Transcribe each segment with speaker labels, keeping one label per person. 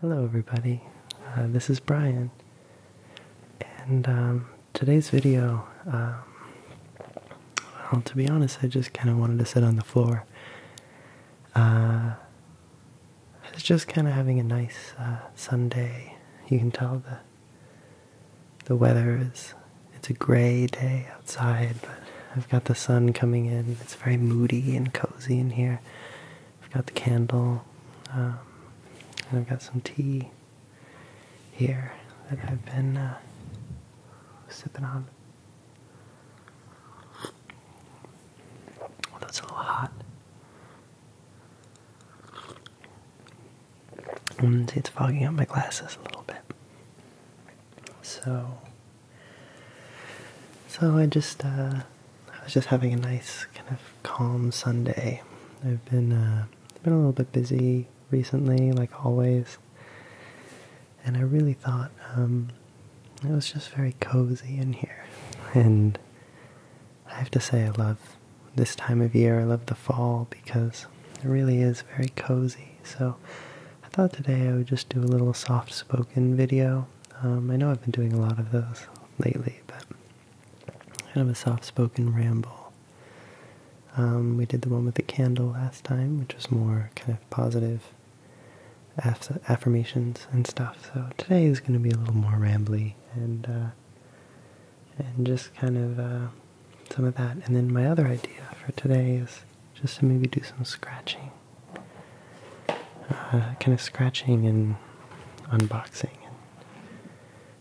Speaker 1: Hello everybody, uh, this is Brian, and um, today's video, um, well, to be honest, I just kind of wanted to sit on the floor. Uh, it's just kind of having a nice uh, Sunday. You can tell the the weather is it's a gray day outside, but I've got the sun coming in. It's very moody and cozy in here. I've got the candle, um, and I've got some tea here that I've been uh, sipping on. Although that's a little hot. See, mm, it's fogging up my glasses a little bit. So, so I just, uh, I was just having a nice kind of calm Sunday. I've been, uh, been a little bit busy recently, like always, and I really thought um, it was just very cozy in here. And I have to say, I love this time of year. I love the fall because it really is very cozy. So I thought today I would just do a little soft spoken video um, I know I've been doing a lot of those lately, but kind of a soft-spoken ramble. Um, we did the one with the candle last time, which was more kind of positive affirmations and stuff. So today is going to be a little more rambly and uh, and just kind of uh, some of that. And then my other idea for today is just to maybe do some scratching uh, kind of scratching and unboxing. And,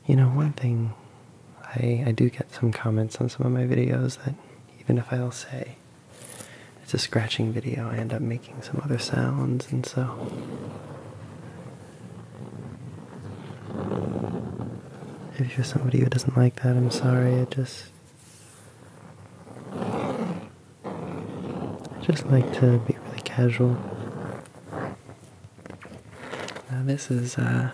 Speaker 1: you know, one thing I, I do get some comments on some of my videos that even if I'll say it's a scratching video, I end up making some other sounds, and so. If you're somebody who doesn't like that, I'm sorry. I just I just like to be really casual. Now uh, this is uh,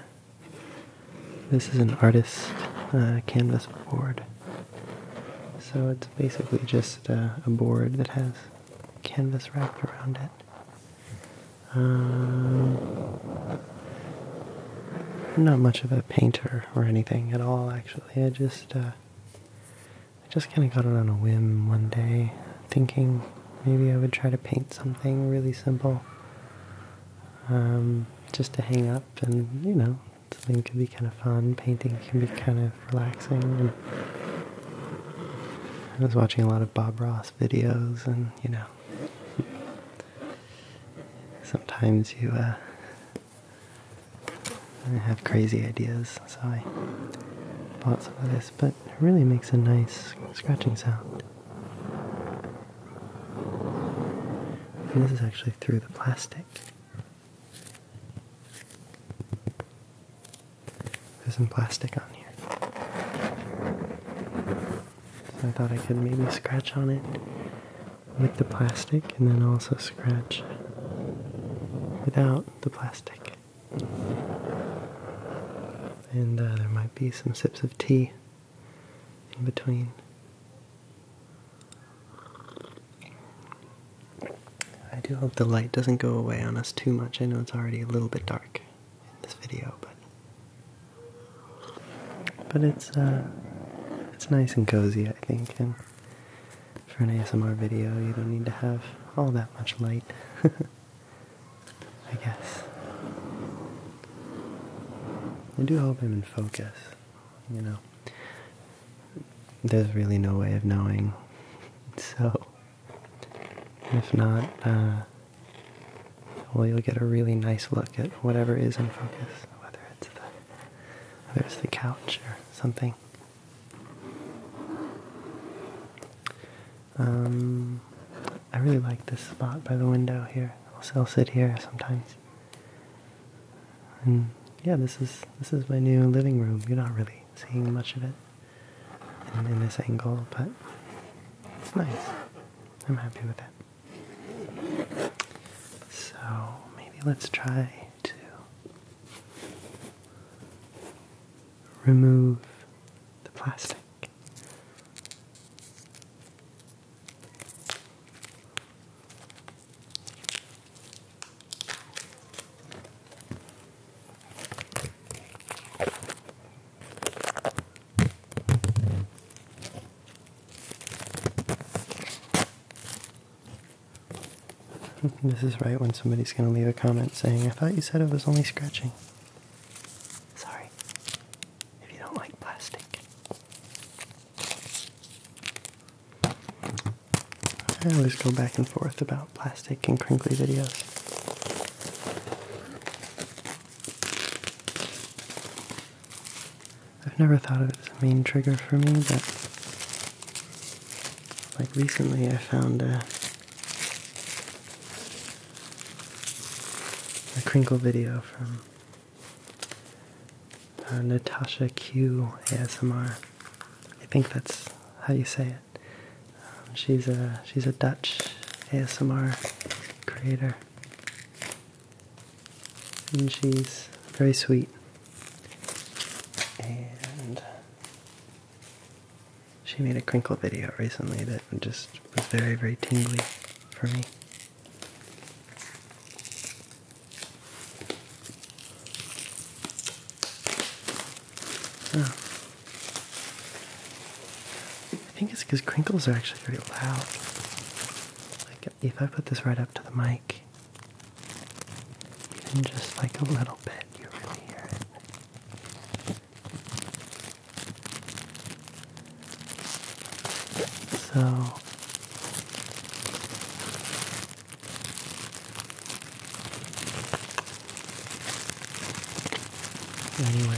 Speaker 1: this is an artist uh, canvas board. So it's basically just uh, a board that has canvas wrapped around it. Um, I'm not much of a painter or anything at all, actually. I just I just kind of got it on a whim one day, thinking maybe I would try to paint something really simple um, just to hang up and, you know, something could be kind of fun. Painting can be kind of relaxing. And I was watching a lot of Bob Ross videos and, you know, sometimes you, uh, I have crazy ideas, so I bought some of this, but it really makes a nice scratching sound. this is actually through the plastic. There's some plastic on here. So I thought I could maybe scratch on it with the plastic and then also scratch without the plastic. And uh, there might be some sips of tea in between. I do hope the light doesn't go away on us too much. I know it's already a little bit dark in this video, but but it's uh, it's nice and cozy, I think, for an ASMR video, you don't need to have all that much light, I guess. I do help him in focus, you know. There's really no way of knowing, so if not, uh, well, you'll get a really nice look at whatever is in focus, whether it's the, whether it's the couch or something. Um, I really like this spot by the window here. I'll sit here sometimes. And yeah, this is this is my new living room. You're not really seeing much of it in this angle, but it's nice. I'm happy with it. So maybe let's try to remove the plastic. this is right when somebody's going to leave a comment saying, I thought you said it was only scratching. Sorry. If you don't like plastic. I always go back and forth about plastic and crinkly videos. I've never thought of it as a main trigger for me, but like recently, I found a, a crinkle video from uh, Natasha Q ASMR. I think that's how you say it. Um, she's a she's a Dutch ASMR creator, and she's very sweet. And she made a crinkle video recently that just was very, very tingly for me. I think it's because crinkles are actually pretty loud. Like if I put this right up to the mic, even just like a little bit, you really hear it. So, anyway.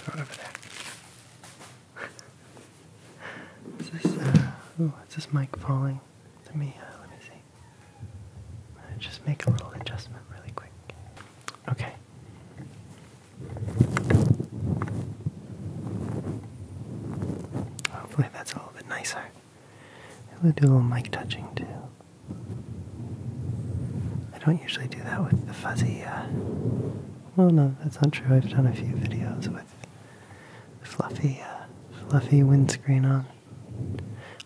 Speaker 1: Throw it over there. is this, uh, ooh, is this mic falling? Let me, uh, let me see. Just make a little adjustment really quick. Okay. Hopefully that's a little bit nicer. I'm gonna do a little mic touching too. I don't usually do that with the fuzzy. Uh, well, no, that's not true. I've done a few videos with fluffy, uh, fluffy windscreen on.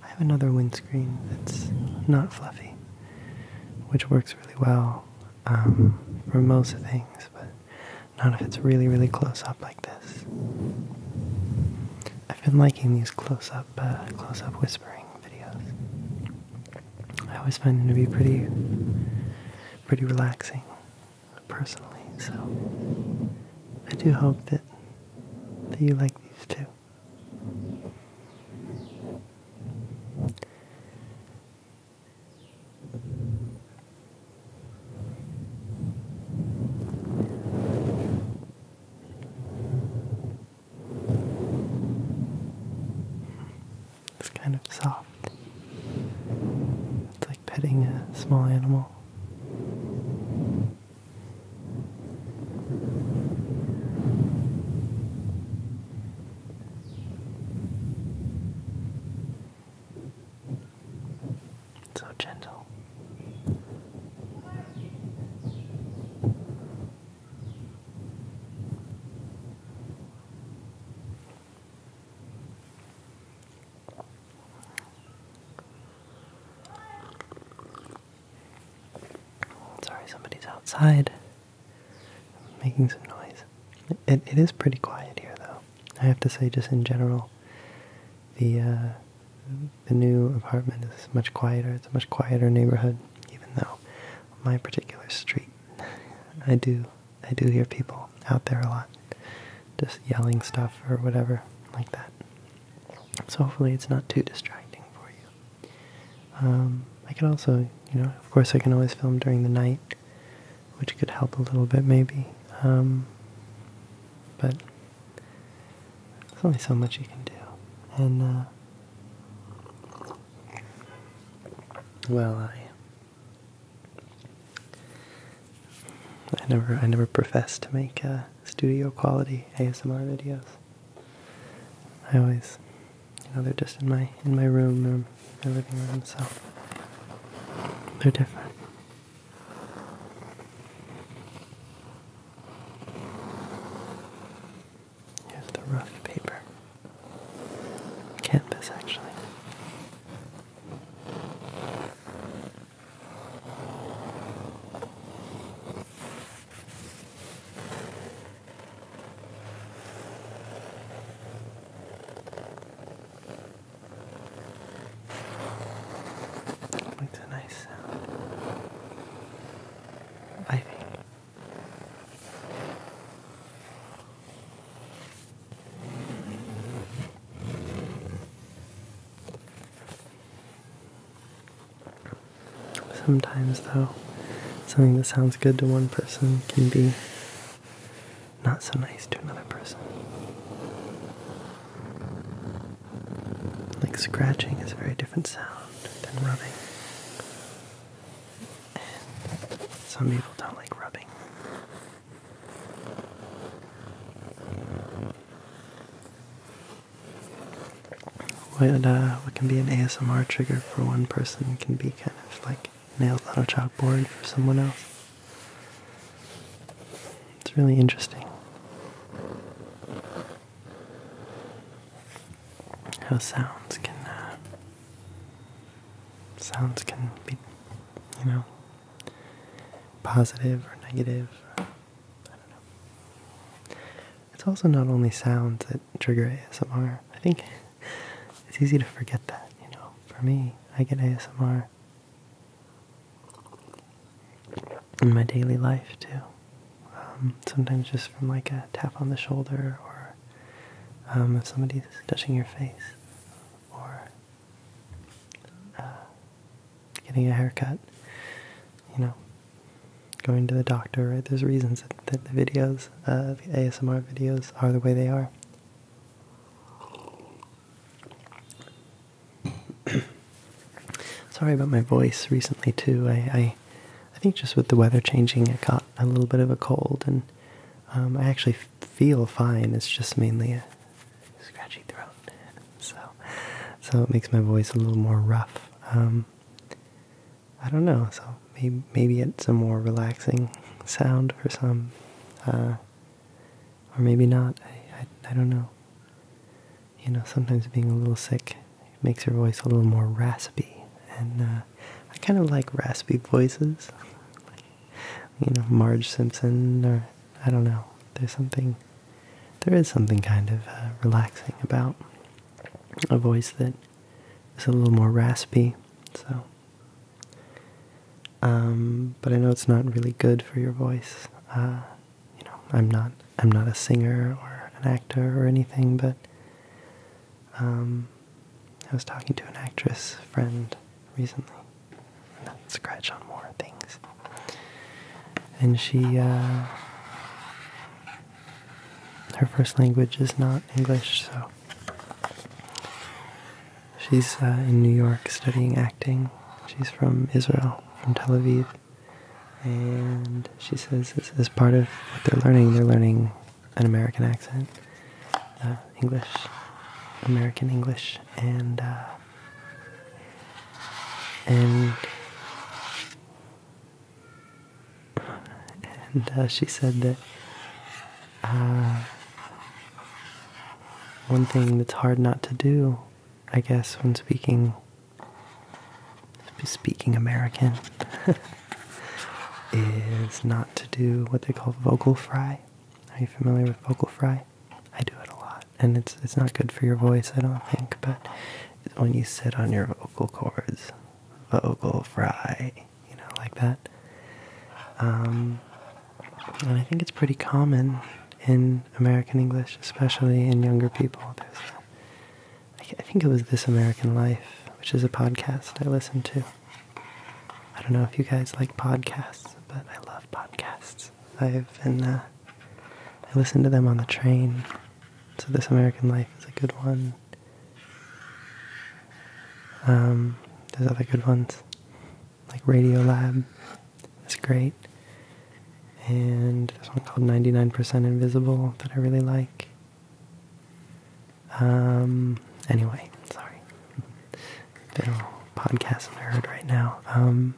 Speaker 1: I have another windscreen that's not fluffy, which works really well um, for most things, but not if it's really, really close up like this. I've been liking these close up, uh, close up whispering videos. I always find them to be pretty, pretty relaxing, personally. So I do hope that that you like these too. It's kind of soft. It's like petting a small animal. So gentle. Sorry, somebody's outside making some noise. It, it is pretty quiet here, though. I have to say, just in general, the uh, the new apartment is much quieter. It's a much quieter neighborhood, even though my particular street, I do, I do hear people out there a lot, just yelling stuff or whatever like that. So hopefully it's not too distracting for you. Um, I could also, you know, of course I can always film during the night, which could help a little bit maybe. Um, but there's only so much you can do, and. Uh, well, I. I never, I never professed to make uh, studio quality ASMR videos. I always, you know, they're just in my in my room or um, my living room, so they're different. Here's the rough paper. Canvas, actually. Makes a nice I think. Sometimes, though, something that sounds good to one person can be not so nice to another person. Like scratching is a very different sound than rubbing. some people don't like rubbing. What, uh, what can be an ASMR trigger for one person can be kind of like nails on a chalkboard for someone else. It's really interesting how sounds can uh, sounds can be you know positive or negative uh, I don't know. It's also not only sounds that trigger ASMR. I think it's easy to forget that, you know. For me, I get ASMR in my daily life too. Um, sometimes just from like a tap on the shoulder or um, if somebody's touching your face or uh, getting a haircut, you know, going to the doctor, There's reasons that, the videos, uh, the ASMR videos, are the way they are. Sorry about my voice recently too. I, I, think just with the weather changing, I caught a little bit of a cold, and um, I actually feel fine. It's just mainly a scratchy throat, so so it makes my voice a little more rough. Um, I don't know. So maybe maybe it's a more relaxing sound for some, uh, or maybe not. I, I don't know you know, sometimes being a little sick makes your voice a little more raspy. And uh, I kind of like raspy voices. you know, Marge Simpson, or I don't know. There's something, there is something kind of uh, relaxing about a voice that is a little more raspy. So, um, but I know it's not really good for your voice. Uh, you know, I'm not I'm not a singer or an actor or anything, but um, I was talking to an actress friend recently. Not scratch on more things. And she, uh, her first language is not English, so she's uh, in New York studying acting. She's from Israel, from Tel Aviv. And she says, this is part of what they're learning, they're learning an American accent, uh, English, American English, and uh, and and uh, she said that one thing that's hard not to do, I guess, when speaking speaking American is not to do what they call vocal fry. Are you familiar with vocal fry? I do it a lot, and it's it's not good for your voice, I don't think. But when you sit on your vocal cords, vocal fry, you know, like that. Um, and I think it's pretty common in American English, especially in younger people. I think it was This American Life, which is a podcast I listen to. I don't know if you guys like podcasts, but I love podcasts. I've been, uh, I listen to them on the train. So This American Life is a good one. Um, there's other good ones, like Radio Lab. It's great and this one called 99% Invisible that I really like. Um, anyway, sorry. Been a podcast nerd right now. Um,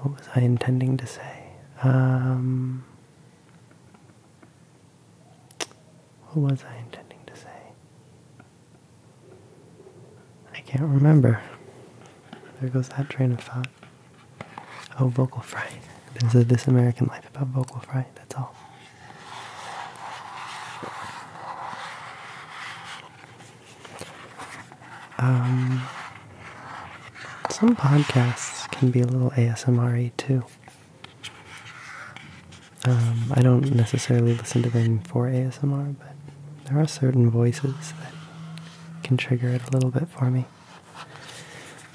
Speaker 1: what was I intending to say? Um, what was I intending to say? I can't remember. There goes that train of thought. Oh, vocal fry. There's a This American Life about vocal fry. That's all. Um, some podcasts can be a little ASMR too. Um, I don't necessarily listen to them for ASMR, but there are certain voices that can trigger it a little bit for me.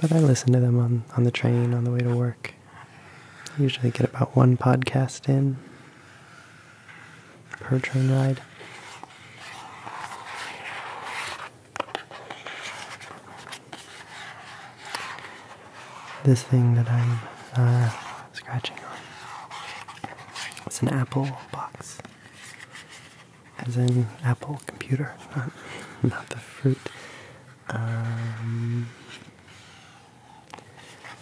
Speaker 1: But I listen to them on, on the train on the way to work. I usually get about one podcast in per train ride. This thing that I'm uh, scratching on. It's an Apple box as in Apple computer, not, the fruit. Um,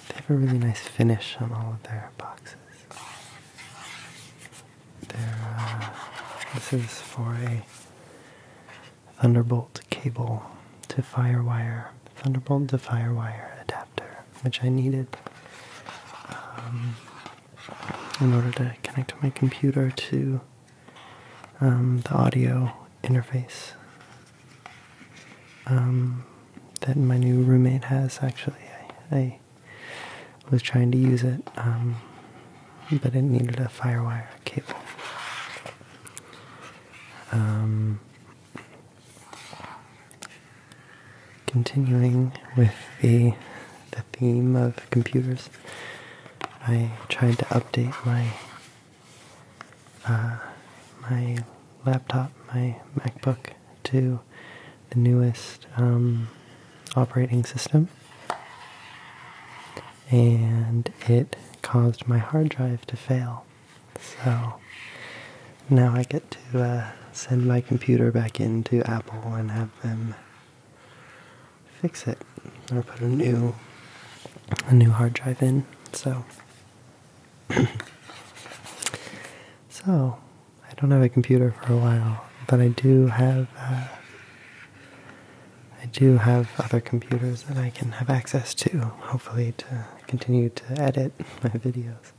Speaker 1: they have a really nice finish on all of their boxes. Uh, this is for a Thunderbolt cable to Firewire, Thunderbolt to Firewire adapter, which I needed um, in order to connect my computer to um, the audio interface um, that my new roommate has. Actually, I, was trying to use it, um, but it needed a FireWire cable. continuing with the theme of computers, I tried to update my uh, my laptop, my MacBook, to the newest um, operating system, and it caused my hard drive to fail. So now I get to uh, send my computer back into Apple and have them fix it I'm gonna put a new a new hard drive in. So so I don't have a computer for a while, but I do have uh, I do have other computers that I can have access to. Hopefully to continue to edit my videos.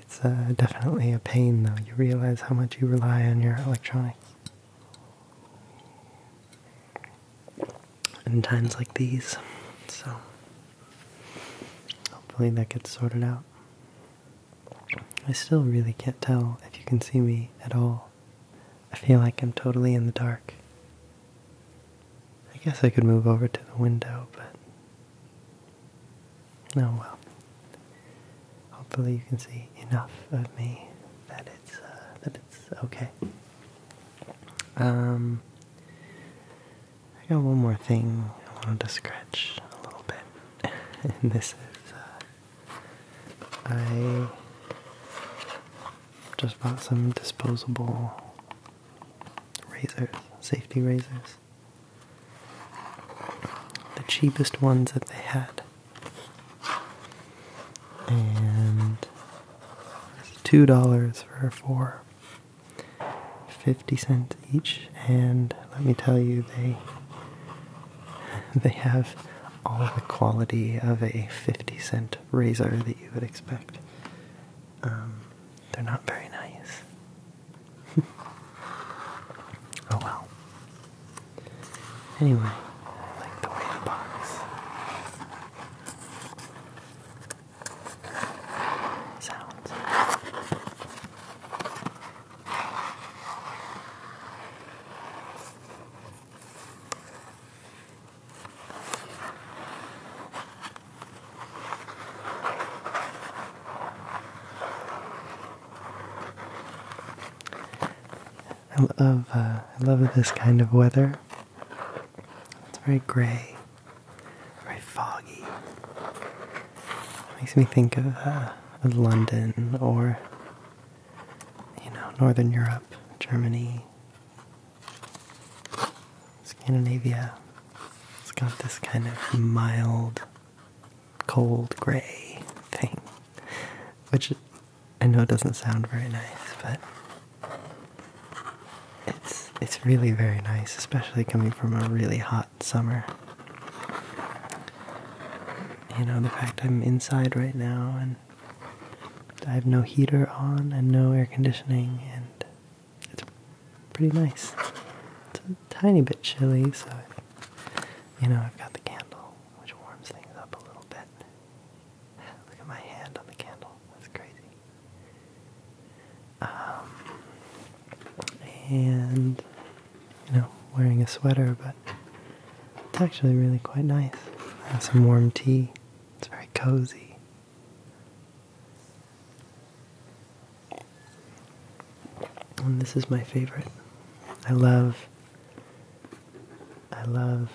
Speaker 1: It's uh, definitely a pain though. You realize how much you rely on your electronics in times like these. So hopefully that gets sorted out. I still really can't tell if you can see me at all. I feel like I'm totally in the dark. I guess I could move over to the window, but. Oh well. Hopefully you can see enough of me that it's uh, that it's okay. Um, I got one more thing I wanted to scratch a little bit, and this is uh, I just bought some disposable razors, safety razors. The cheapest ones that they had and two dollars for four. 50 cents each and let me tell you they they have all the quality of a 50 cent razor that you would expect um, they're not very nice oh well Anyway, like the way sounds. I love uh, I love this kind of weather. It's very gray, very foggy. It makes me think of, uh, of London or you know Northern Europe, Germany, Scandinavia. It's got this kind of mild cold gray thing, which I know it doesn't sound very nice, but it's it's really very nice, especially coming from a really hot summer. You know, the fact I'm inside right now and I have no heater on and no air conditioning and it's pretty nice. It's a tiny bit chilly, so you know, I've got the candle which warms things up a little bit. Look at my hand on the candle. That's crazy. Um, and, you know, wearing a sweater, but it's actually really quite nice. have some warm tea. It's very cozy. And this is my favorite. I love I love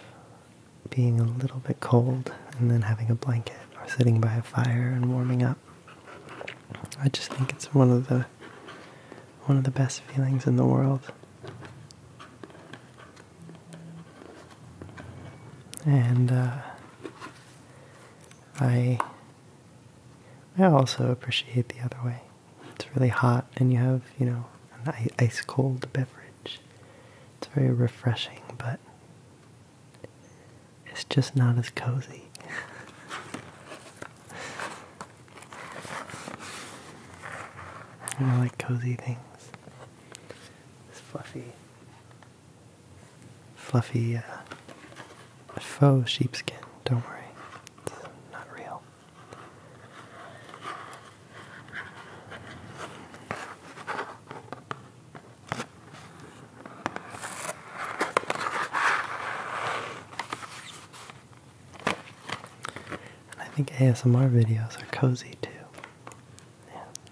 Speaker 1: being a little bit cold and then having a blanket or sitting by a fire and warming up. I just think it's one of the one of the best feelings in the world. And uh, I I also appreciate the other way. It's really hot, and you have, you know, an ice cold beverage. It's very refreshing, but it's just not as cozy. I like cozy things. This fluffy, fluffy uh, faux sheepskin. Don't worry, it's not real. I think ASMR videos are cozy too.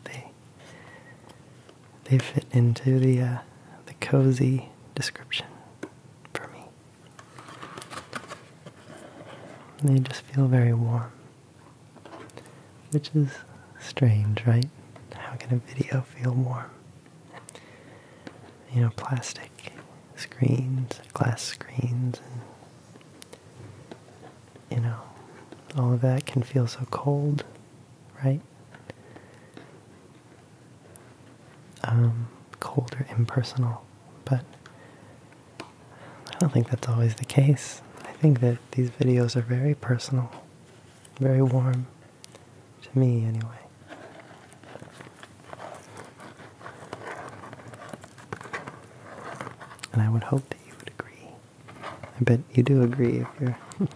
Speaker 1: they they fit into the uh, the cozy description for me. They just feel very warm. Which is strange, right? How can a video feel warm? You know, plastic screens, glass screens, and, you know, all of that can feel so cold, right? Um, cold or impersonal but I don't think that's always the case. I think that these videos are very personal, very warm, to me anyway. And I would hope that you would agree. I bet you do agree if you're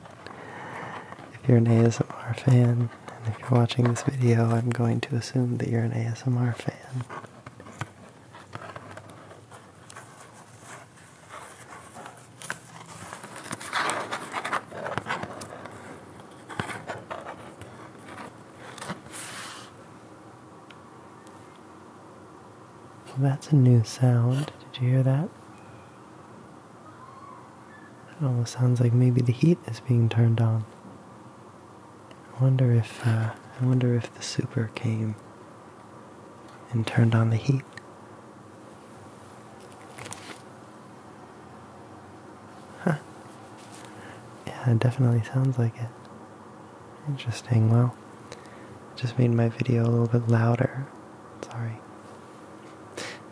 Speaker 1: if you're an ASMR fan and if you're watching this video, I'm going to assume that you're an ASMR fan that's a new sound. Did you hear that? It almost sounds like maybe the heat is being turned on. I wonder if uh, I wonder if the super came and turned on the heat. Yeah, it definitely sounds like it. Interesting. Well, just made my video a little bit louder. Sorry.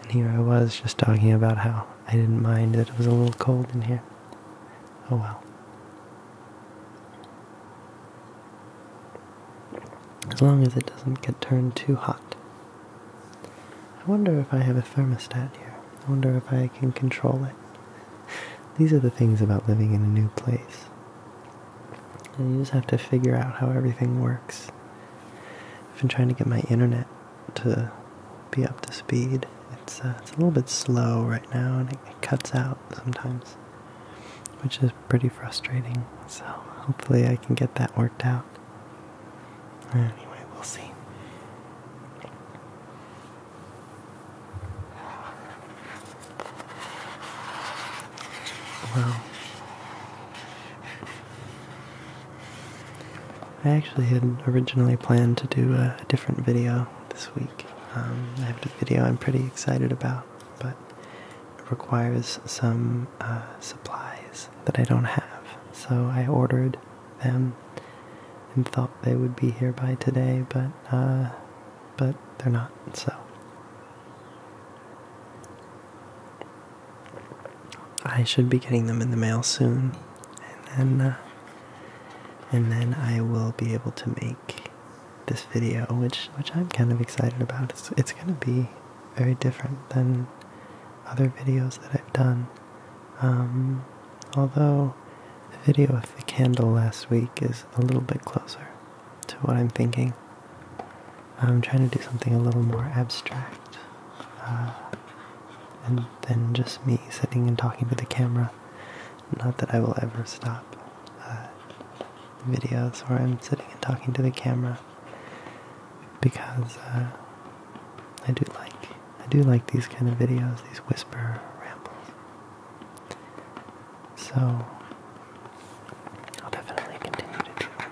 Speaker 1: And here I was just talking about how I didn't mind that it was a little cold in here. Oh well. As long as it doesn't get turned too hot. I wonder if I have a thermostat here. I wonder if I can control it. These are the things about living in a new place. you just have to figure out how everything works. I've been trying to get my internet to be up to speed. It's uh, it's a little bit slow right now, and it, it cuts out sometimes, which is pretty frustrating. So hopefully I can get that worked out. Anyway, we'll see. Well, I actually had originally planned to do a different video this week. Um, I have a video I'm pretty excited about, but it requires some uh, supplies that I don't have. So I ordered them and thought they would be here by today, but uh, but they're not. So I should be getting them in the mail soon and then uh, and then I will be able to make this video, which which I'm kind of excited about. It's it's gonna be very different than other videos that I've done. Um, although the video of the candle last week is a little bit closer to what I'm thinking. I'm trying to do something a little more abstract. Uh, and then just me sitting and talking to the camera. Not that I will ever stop uh, videos where I'm sitting and talking to the camera because uh, I do like I do like these kind of videos, these whisper rambles. So I'll definitely continue to do them.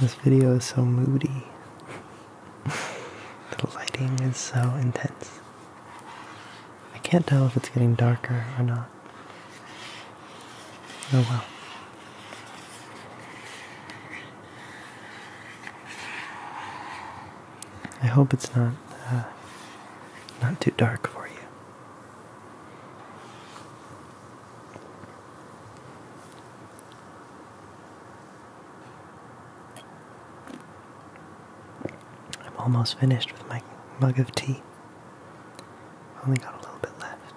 Speaker 1: This video is so moody. the lighting is so intense. I can't tell if it's getting darker or not. Oh well. I hope it's not uh, not too dark for you. I'm almost finished with my mug of tea. Only got a little bit left.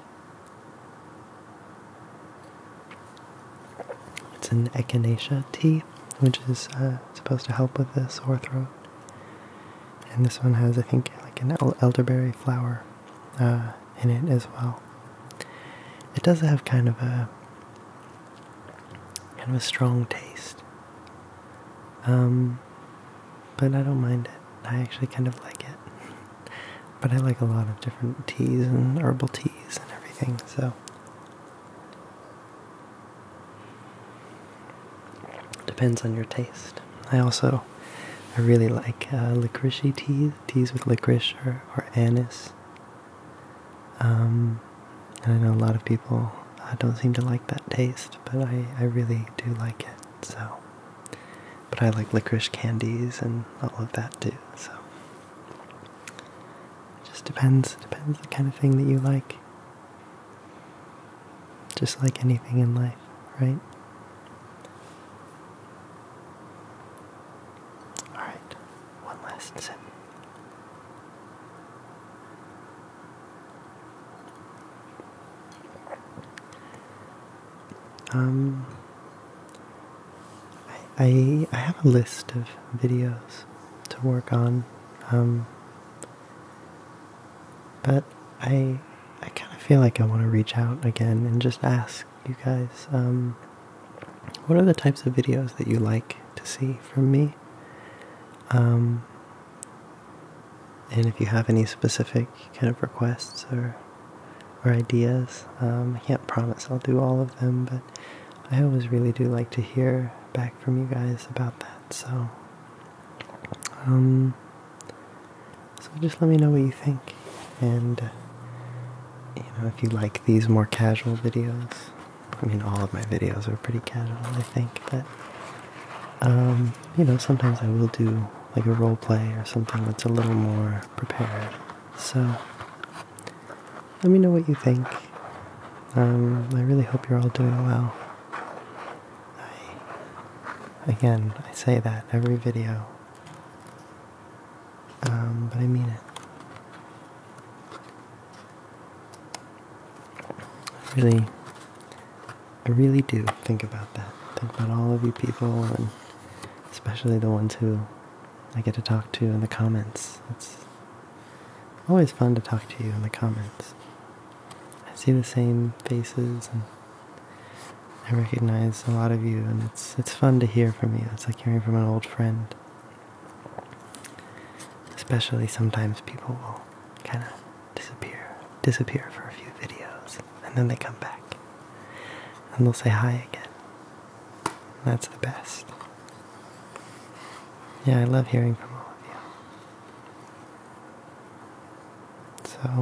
Speaker 1: It's an echinacea tea, which is uh, supposed to help with the sore throat. And this one has, I think, like an elderberry flower uh, in it as well. It does have kind of a kind of a strong taste. Um, but I don't mind it. I actually kind of like it. but I like a lot of different teas and herbal teas and everything, so depends on your taste. I also I really like uh, licorice teas teas with licorice or, or anise. Um, and I know a lot of people uh, don't seem to like that taste, but I, I really do like it. So, but I like licorice candies and all of that too. So, it just depends. Depends the kind of thing that you like. Just like anything in life, right? Alright, one last set. Um, I, I, I have a list of videos to work on, um, but I, I kind of feel like I want to reach out again and just ask you guys um, what are the types of videos that you like to see from me? Um, and if you have any specific kind of requests or or ideas, um, I can't promise I'll do all of them, but I always really do like to hear back from you guys about that. So, so just let me know what you think, and uh, you know if you like these more casual videos. I mean, all of my videos are pretty casual, I think, but um, you know sometimes I will do like a role play or something that's a little more prepared. So let me know what you think. Um, I really hope you're all doing well. I, again, I say that every video. Um, but I mean it. really, I really do think about that. Think about all of you people, and especially the ones who I get to talk to in the comments. It's always fun to talk to you in the comments. I see the same faces and I recognize a lot of you, and it's it's fun to hear from you. It's like hearing from an old friend. Especially sometimes people will kind of disappear, disappear for a few videos, and then they come back, and they'll say hi again. that's the best. Yeah, I love hearing from all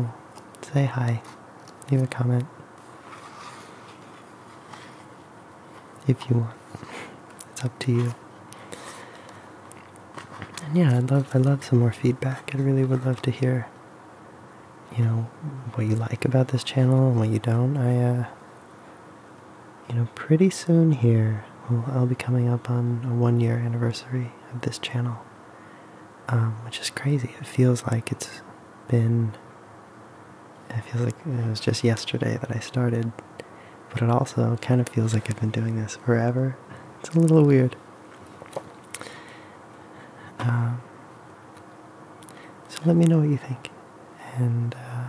Speaker 1: of you. So, say hi, leave a comment. If you want. It's up to you. And yeah, I'd love I love some more feedback. I really would love to hear you know what you like about this channel and what you don't. I uh you know pretty soon here I'll be coming up on a one year anniversary of this channel. Um, which is crazy. It feels like it's been. It feels like it was just yesterday that I started, but it also kind of feels like I've been doing this forever. It's a little weird. Um, so let me know what you think, and uh,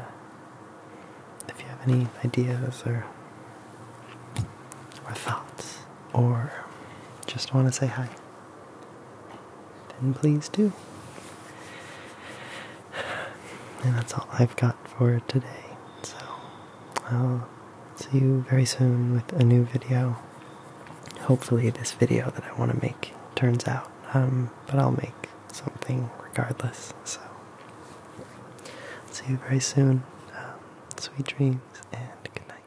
Speaker 1: if you have any ideas or or thoughts, or just want to say hi then please do. And that's all I've got for today. So I'll see you very soon with a new video. Hopefully, this video that I want to make turns out, um, but I'll make something regardless. So see you very soon. Um, sweet dreams and good night.